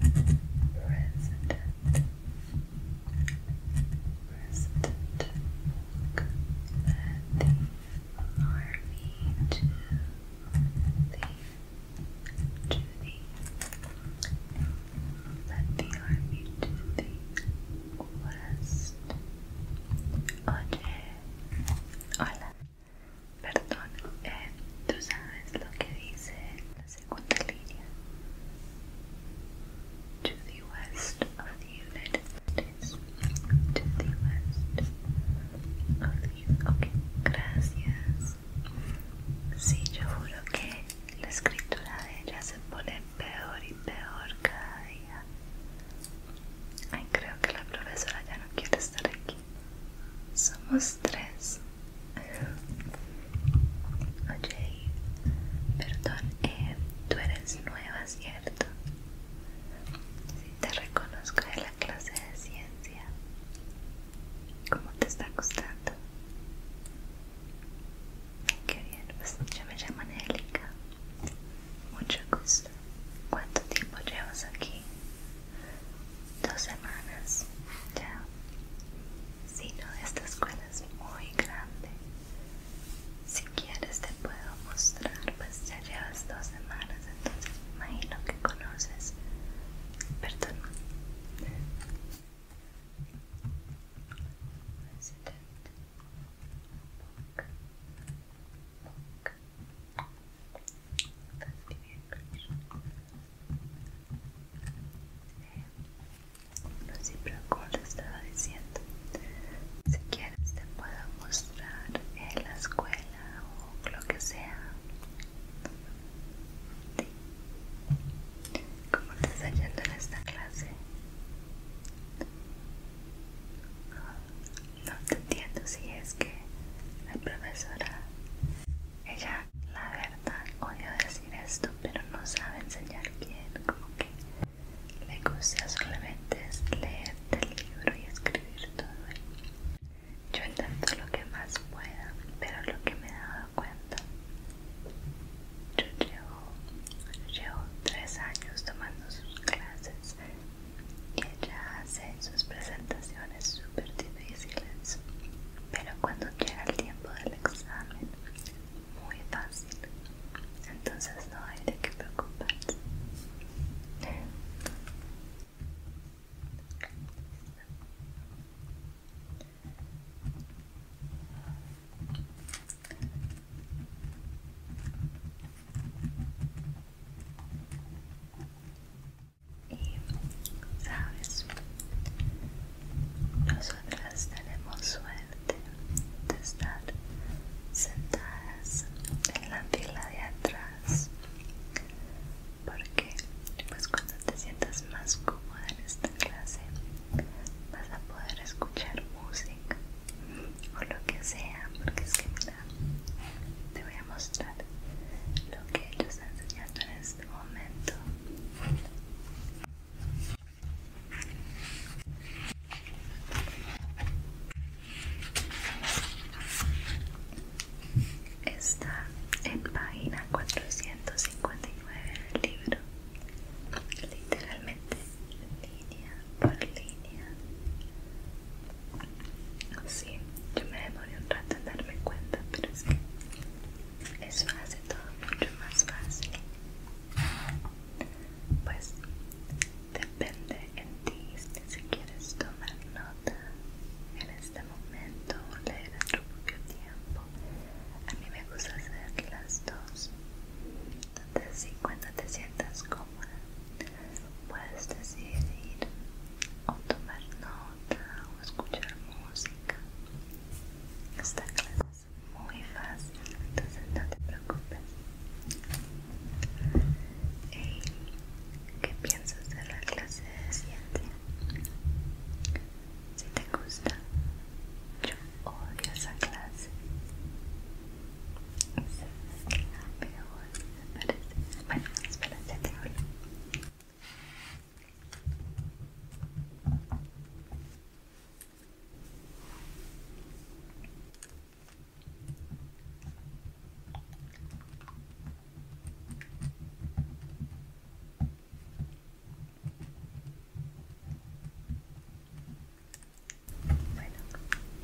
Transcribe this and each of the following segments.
Resident. Resident Polk the army to the to the led the army to the west. Oje Orland. Perdón, eh, ¿tú sabes lo que dice la segunda línea? To the west of the United States. To the west of the Ok, gracias. Sí, yo juro que la escritura de ella se pone peor y peor cada día. Ay, creo que la profesora ya no quiere estar aquí. Somos tres. Oye, perdón, eh, tú eres nueva, ¿cierto? Si te reconozco de la clase de ciencia, ¿cómo te está gustando? Qué bien, pues yo me llamo Nelica Mucho gusto. ¿Cuánto tiempo llevas aquí? dos semanas ya sino esta escuela es muy grande si quieres te puedo mostrar pues ya llevas dos semanas entonces me imagino que conoces perdón no como te estaba diciendo si quieres te puedo mostrar en la escuela o lo que sea ¿Cómo te está yendo en esta clase? No te entiendo si es que la profesora ella, la verdad, odio decir esto, pero no sabe enseñar bien, como que le gusta solamente leer del libro y escribir todo. Yo intento lo que más pueda, pero lo que me he dado cuenta, yo llevo, llevo tres años tomando sus clases y ella hace sus presentaciones súper difíciles, pero cuando llega el tiempo del examen, muy fácil. Entonces no hay de qué preocuparse. Y, ¿sabes? Nosotras tenemos suerte de estar sentadas en la fila de atrás porque pues cuando te sientas más cómoda en esta clase vas a poder escuchar música o lo que sea porque es que mira te voy a mostrar lo que ellos enseñando en este momento está en página 459 del libro literalmente línea por línea Sí, yo me demoré un rato en darme cuenta, pero es fácil eso todo mucho más fácil. Pues depende en ti si quieres tomar nota en este momento o leer en tiempo. A mí me gusta hacer las dos. Entonces, si cuando te sientas cómoda, puedes decidir o tomar nota o escuchar música. Esta clase es muy fácil, entonces no te preocupes. ¿Qué piensas de la clase de ciencia? Si te gusta, yo odio esa clase. es me parece. Bueno, espera, te hablo. Bueno,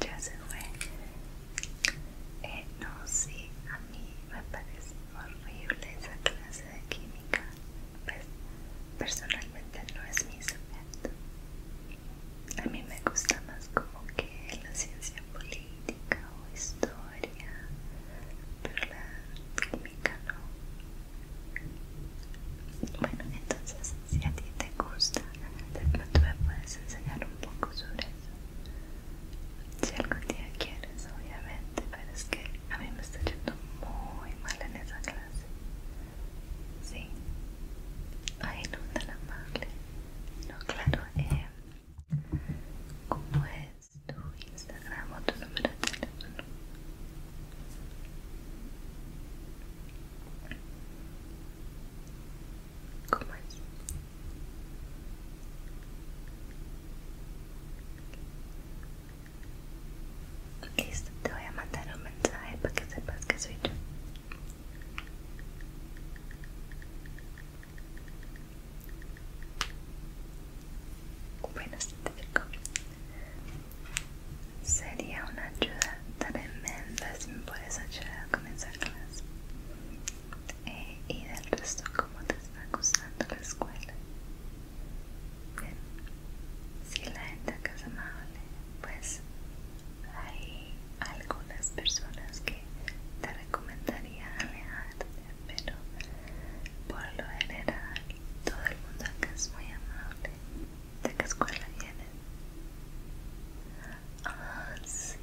ya se fue. Eh, no, sé a mí me parece horrible esa clase de química, pues personalmente no es mi sujeto. A mí me gusta más como que la ciencia política o historia, pero la química no. Bueno, entonces si a ti te gusta, de me puedes enseñar un poco sobre eso si algún día quieres obviamente pero es que a mí me está yendo muy mal en esa clase sí ay no la amable no claro eh, ¿cómo es tu Instagram o tu número teléfono? ¿Cómo es? Listo, te voy a mandar un mensaje para que sepas que soy yo. Bueno, se te digo, Sería una ayuda tremenda si me puedes ayudar a comenzar clases. Eh, y del resto cómo te está gustando la escuela si la gente acá es amable pues hay algunas personas que te recomendaría alejarte pero por lo general todo el mundo acá es muy amable ¿de qué escuela vienes? ah sí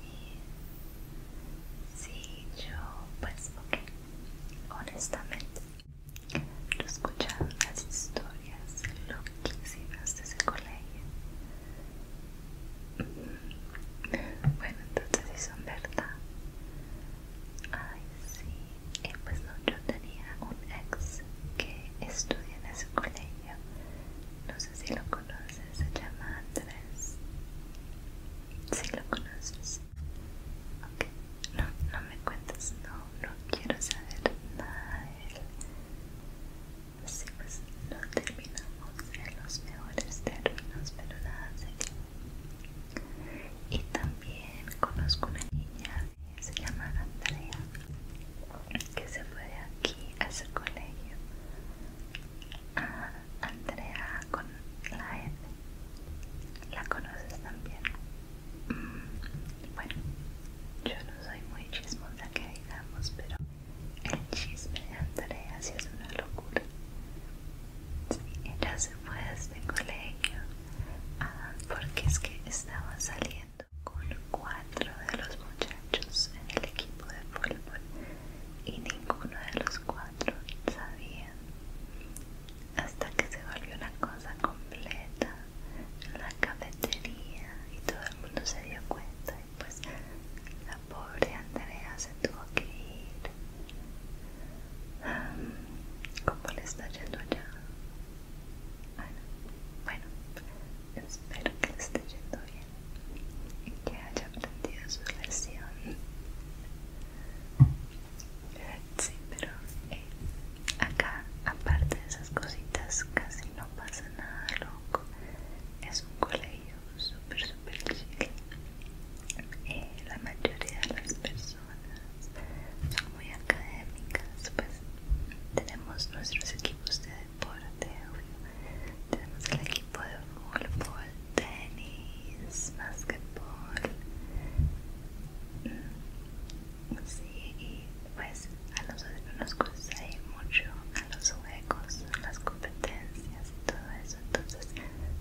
sí yo pues ok honestamente. Yo escuchaba las historias loquísimas de ese colegio. Mm, bueno, entonces si son verdad. Ay, sí. pues no, yo tenía un ex que estudia en ese colegio. No sé si lo conoces, se llama Andrés. Si lo conoces ok, No, no me cuentes, no, no quiero saber nada de Así pues, lo pues, terminamos en los mejores términos, pero nada serio. Y también conozco una niña que se llama Andrea, que se fue aquí a su colegio. Ah, Andrea con la F. ¿La conoces también? Mm, bueno, yo no soy muy chismosa que digamos, pero el chisme de Andrea sí es una locura. Sí, ella se fue desde colegio ah, porque es que estaba saliendo con cuatro de los muchachos en el equipo de fútbol y ninguno de los cuatro sabía hasta que se volvió una cosa completa la cafetería y todo el mundo se dio cuenta y pues la pobre Andrea se tuvo que ir. ¿Cómo le está yendo allá? Bueno, bueno, espero que le esté yendo bien y que haya aprendido su lección. Sí, pero eh, acá, aparte de esas cositas, casi no pasa nada loco. Es un colegio súper, súper chile eh, la mayoría de las personas son muy académicas, pues tenemos nuestros equipos de deporte, Tenemos el equipo de fútbol, tenis, basketball mm, Sí, y pues a nosotros nos gusta mucho a los juegos, las competencias todo eso. Entonces,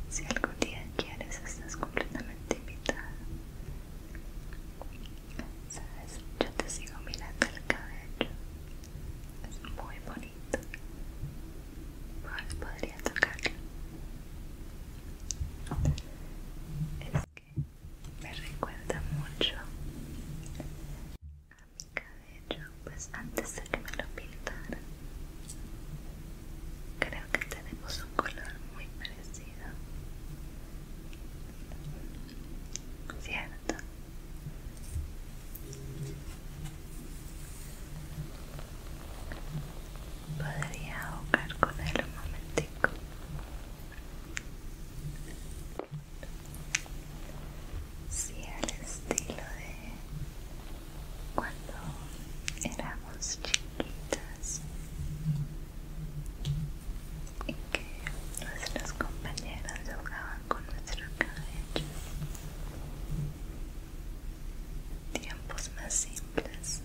si algún día quieres, estás completamente invitada. Sabes, yo te sigo mirando el cabello. Es muy bonito. Pues podría tocarlo. Es que me recuerda mucho a mi cabello, pues antes de que me lo pintaran. Creo que tenemos un color muy parecido. ¿Cierto? Podría ahogar con él un momentico. Sí, al estilo de cuando éramos chiquitas y que nuestros compañeros jugaban con nuestro cabello tiempos más simples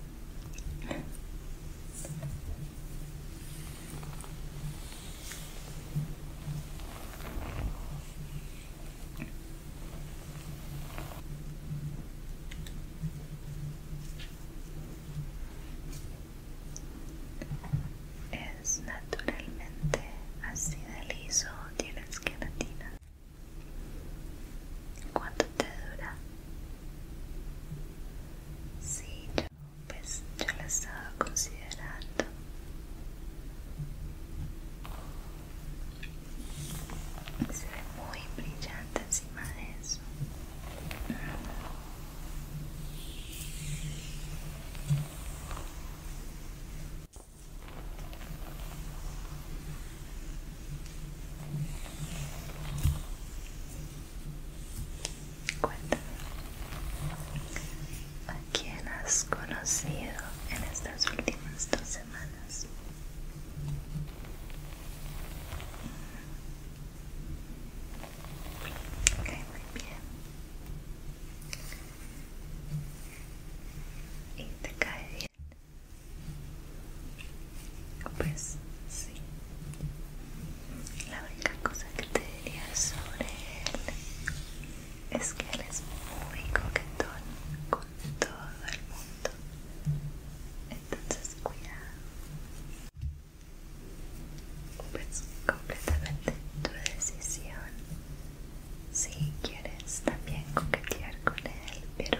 es naturalmente así de liso tienes queratina ¿Cuánto te dura? Sí, yo, pues yo estaba considerando. Se ve muy brillante encima de eso. Cuéntame, ¿a quién has conocido en estas últimas dos semanas? Mm. Ok, muy bien. ¿Y te cae bien? Pues sí. La única cosa que te diría sobre él es que él es muy coquetón con todo el mundo. Entonces cuidado. Pues completamente tu decisión. Si quieres también coquetear con él, pero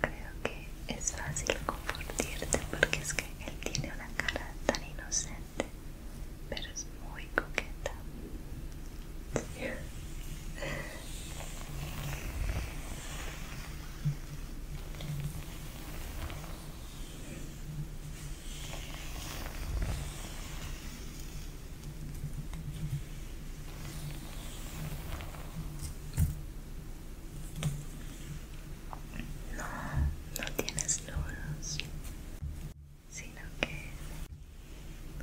Creo que es fácil compartirte porque es que él tiene una cara tan inocente, pero es muy coqueta. No, no tienes nudos, sino que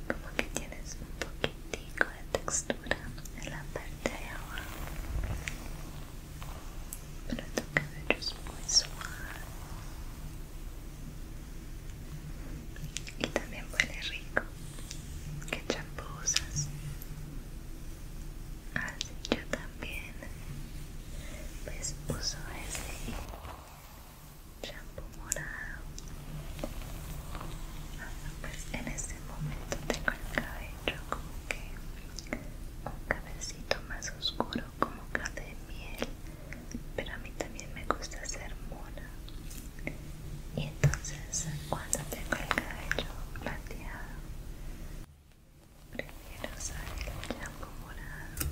como que tienes un poquitico de textura en la parte de abajo. Pero tu cabello es muy suave y también huele rico qué Ah así yo también pues uso ese champú morado ah, pues en este momento tengo el cabello como que un cabecito más oscuro como café de miel pero a mí también me gusta ser mona y entonces cuando tengo el cabello plateado primero usar el champú morado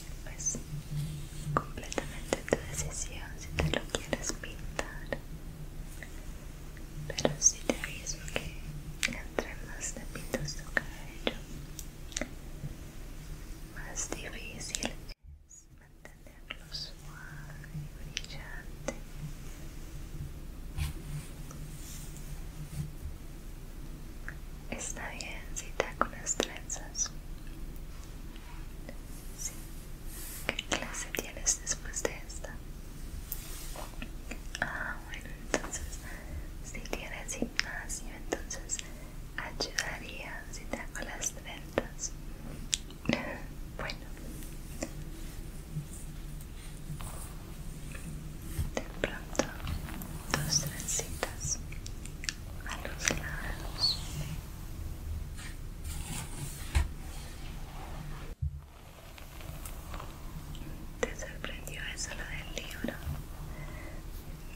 mm. pues completamente tu decisión si te lo quieres pintar pero si te aviso que entre más tapitos tu cabello más difícil es mantenerlo suave y brillante Está bien si te hago trenzas. Sí, ¿Qué clase tienes después de esta? Ah, bueno, entonces, si tienes gimnasio, entonces ayudaría si te hago las trenzas. bueno. De pronto, dos trencitas a los lados. ¿Te sorprendió eso lo del libro?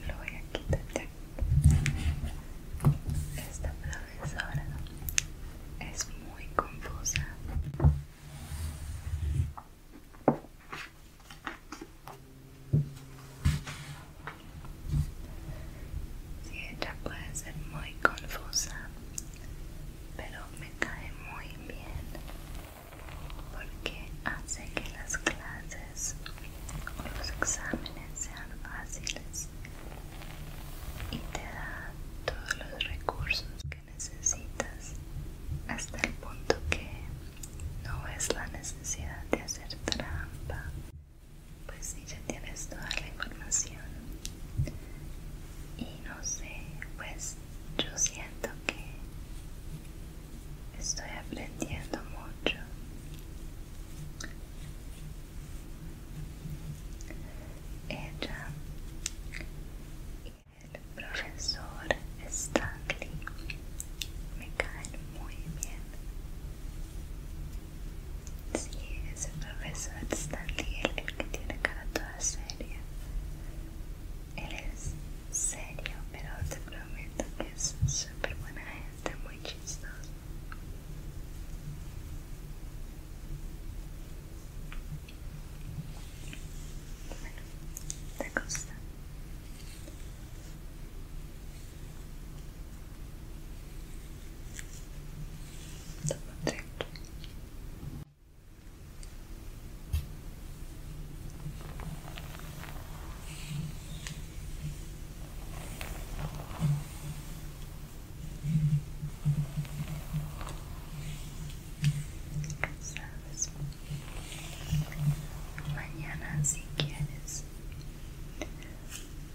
Lo voy a quitar Esta profesora es muy confusa. Sí, ella puede ser muy confusa pero me cae muy bien porque hace que las clases o los exámenes sean fáciles y te da todos los recursos que necesitas hasta el punto que no es la necesidad de hacer trampa pues si ya tienes toda la información y no sé, pues yo siento que estoy aprendiendo mucho. Ella y el profesor Stanley me caen muy bien. Sí, el profesor Stanley, el que tiene cara toda seria. seria. Eres serio, pero te prometo que es súper buena gente, muy chistoso. Bueno, gusta? Toma ¿Sabes? Mañana si quieres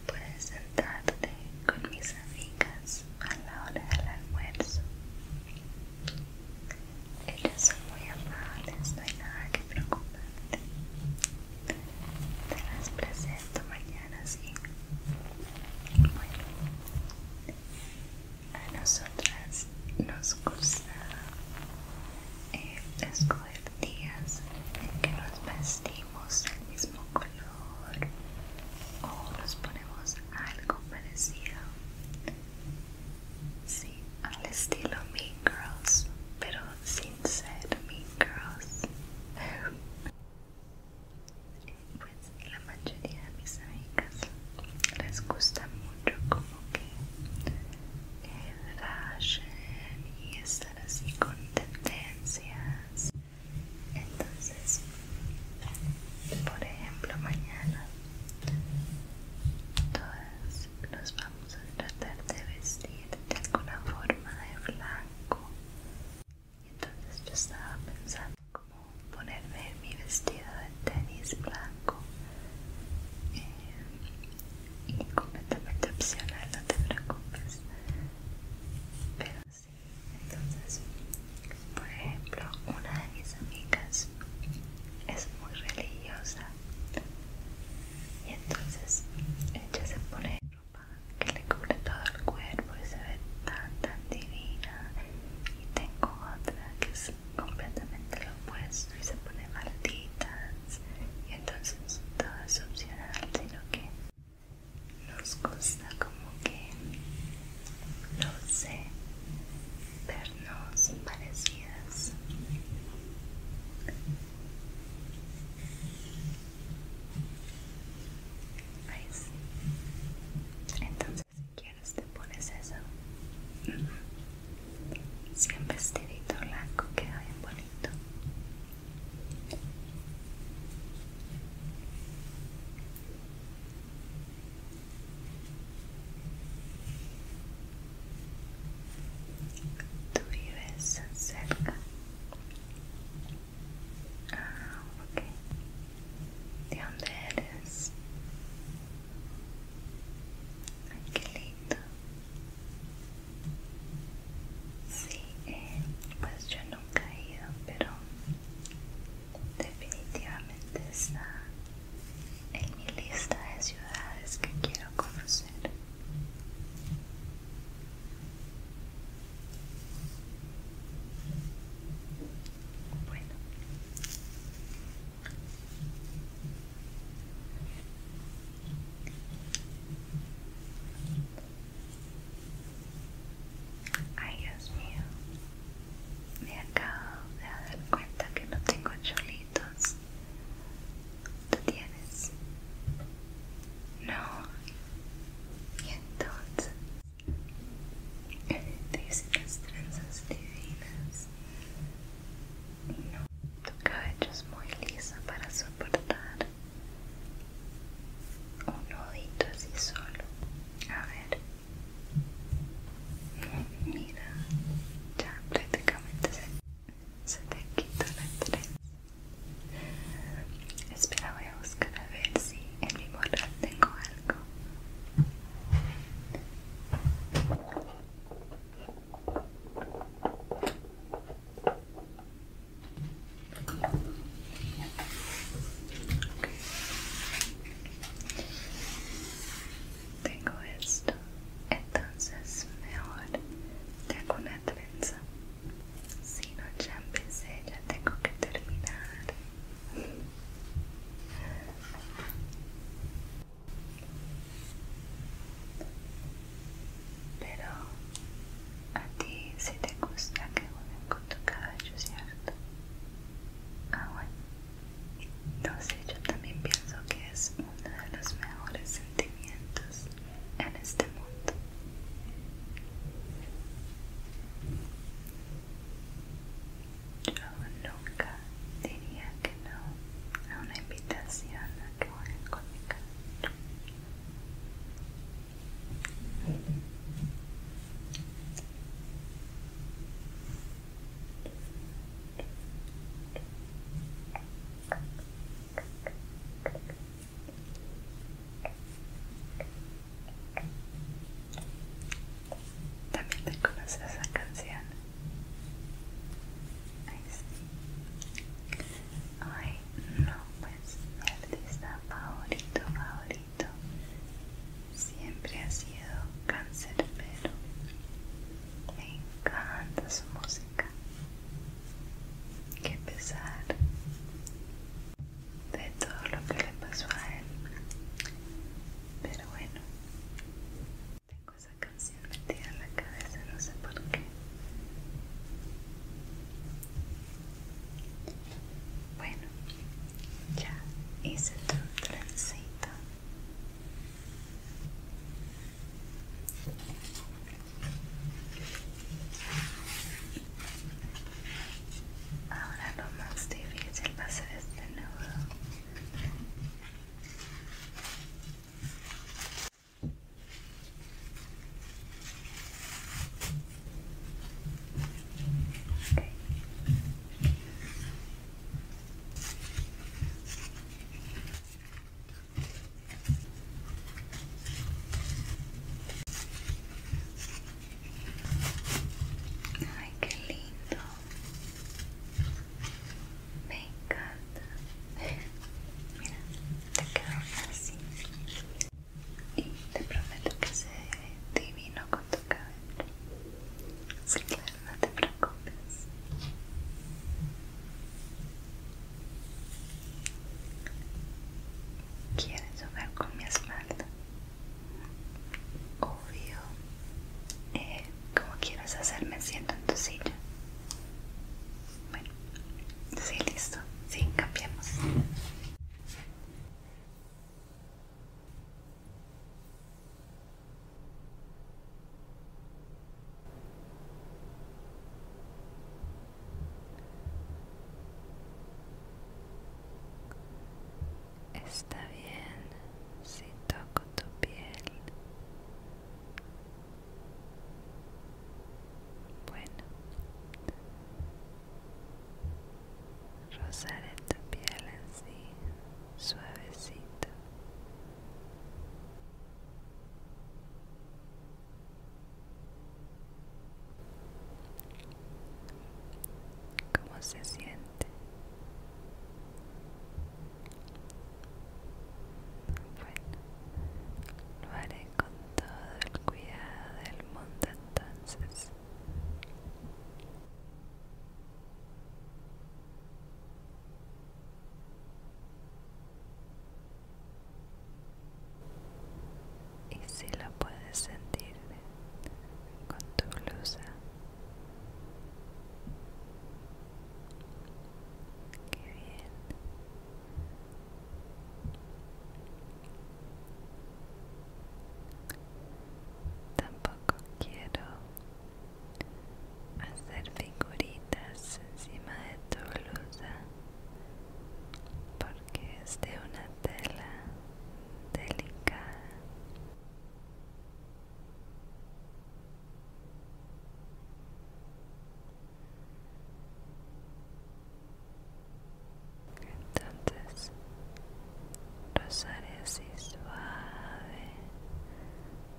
puedes sentarte con mis amigas a la hora del almuerzo. Ellos son muy amables, no hay nada que preocuparte. Te las presento mañana, sí. Bueno, a nosotras nos gusta eh, escoger días en que nos vestimos el mismo color o nos ponemos algo parecido sí, al estilo Mean Girls pero sin ser Mean Girls pues la mayoría de mis amigas les gusta mucho como que el y estar así con tendencias entonces por ejemplo mañana todos nos vamos a tratar de vestir de alguna forma de blanco entonces yo estaba pensando como ponerme mi vestido de tenis blanco eh, y completamente opcional no te preocupes entonces, por ejemplo, una de mis amigas es muy religiosa y entonces ella se pone ropa que le cubre todo el cuerpo y se ve tan tan divina y tengo otra que es completamente lo opuesto y se pone malditas y entonces todo es opcional sino que nos gusta como que no sé vernos parecidas entonces si quieres te pones eso Siempre este vestidito blanco queda bien bonito Tú vives cerca. Ah, ok. ¿De dónde eres? Ay, qué lindo. Sí, eh, pues yo nunca he ido, pero definitivamente está en mi lista de ciudades que quiero conocer. Bueno. Ay Dios mío, me acabo de dar cuenta que no tengo cholitos. ¿Tú tienes? No. Y entonces, te hice las trenzas divinas. No, tu cabello es muy lisa para soportar un nodito así solo. A ver. Mira, ya prácticamente se, te quita la trenza Espera, voy a buscar a ver si en mi morral tengo algo. Tengo esto, entonces mejor te hago una trenza. Si no, ya empecé, ya tengo que terminar. Pero a ti si te gusta que unen con tu cabello, ¿cierto? Ah, bueno. Entonces yo también pienso que es uno de los mejores sentimientos en este mundo. Yo nunca diría que no a una invitación a que jueguen con también te conoces esa canción. Ay, sí. Ay, no, pues mi artista favorito, favorito siempre ha sido cáncer pero me encanta su música que pesar de todo lo que le pasó a él pero bueno tengo esa canción metida en la cabeza no sé por qué bueno, ya hice tu el trencito. Ahora lo más difícil va a ser este nuevo. Ay, qué lindo. Me encanta. Mira, te quedó así. Y te prometo que se divino con tu cabeza Sí, claro, no te preocupes. ¿Quieres jugar con mi espalda? Obvio. Eh, ¿Cómo quieres hacerme siento en tu silla? Bueno, sí, listo. Sí, cambiamos. Está bien si toco tu piel. Bueno, Rosaré tu piel sí, suavecito. ¿Cómo se siente? Bueno, lo haré con todo el cuidado del mundo entonces. Y si lo puedes sentir con tu blusa, qué bien. Tampoco quiero hacer figuritas encima de tu blusa porque es de una tela delicada entonces rozaré así suave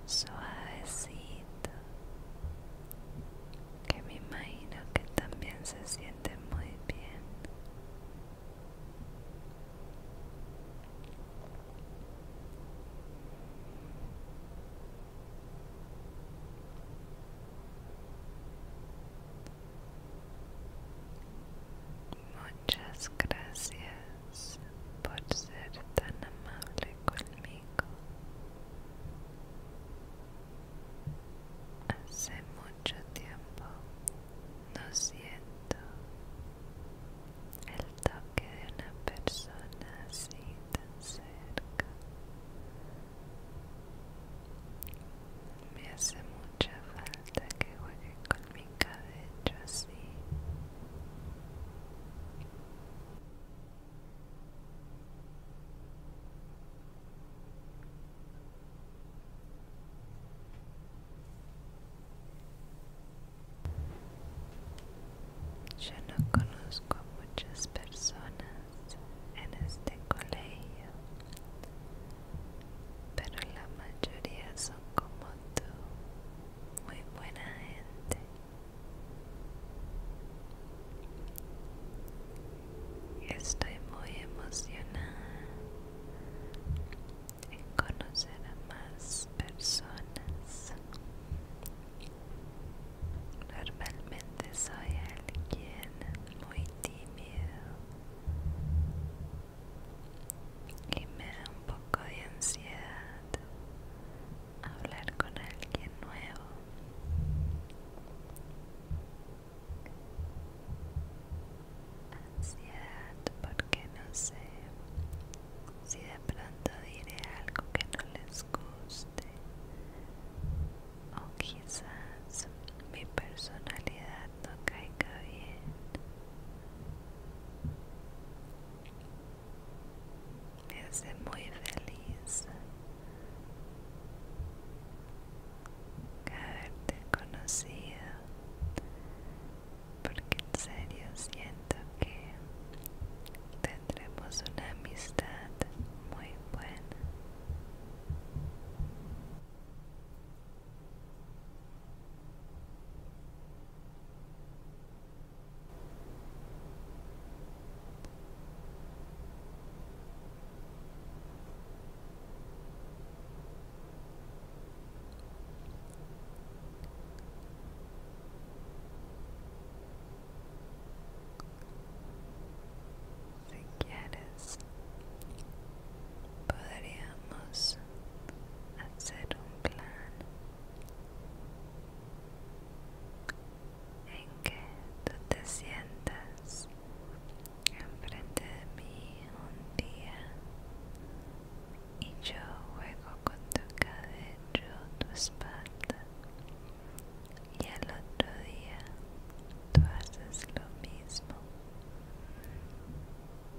suavecito que me imagino que también se siente muy bien Muchas gracias por ser tan amable conmigo. Hace mucho tiempo no siento el toque de una persona así tan cerca. Me hace mucha falta que juegue con mi cabello así. Yo no conozco a muchas personas en este colegio pero la mayoría son como tú, muy buena gente. Estoy muy emocionada en conocer a más personas. Normalmente soy alguien muy tímido y me da un poco de ansiedad hablar con alguien nuevo. Ansiedad porque no sé si de pronto diré algo que no les guste o quizás mi personalidad no caiga bien. Me hace muy feliz haberte conocido porque en serio siento que tendremos una amistad muy buena si quieres, podríamos hacer un plan en que tú te sientas enfrente de mí un día y yo juego con tu cabello, tu espalda y al otro día tú haces lo mismo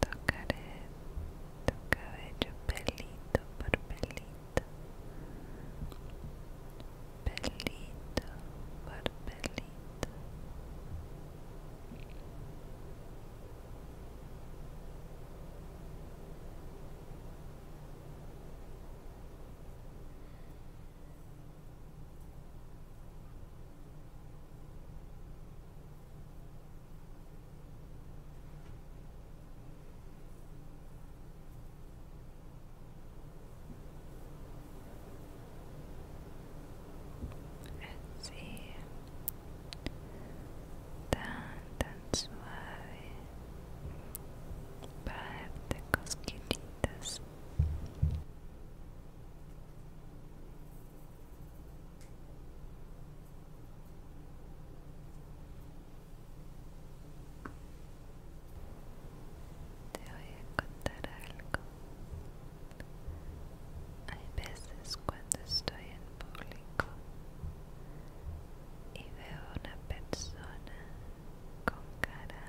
Tocaré tu cabello pelito por pelito. Pelito por pelito. Así, tan, tan suave, darte cosquillitas. Te voy a contar algo. Hay veces cuando estoy en público y veo una persona con cara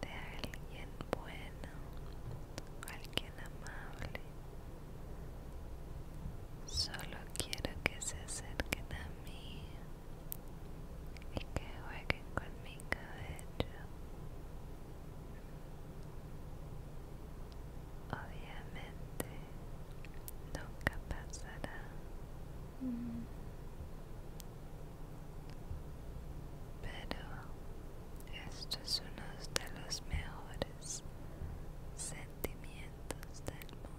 de alguien bueno, alguien amable, Solo quiero que se acerquen a mí y que jueguen con mi cabello. Obviamente nunca pasará. Pero esto es uno de los mejores sentimientos del mundo.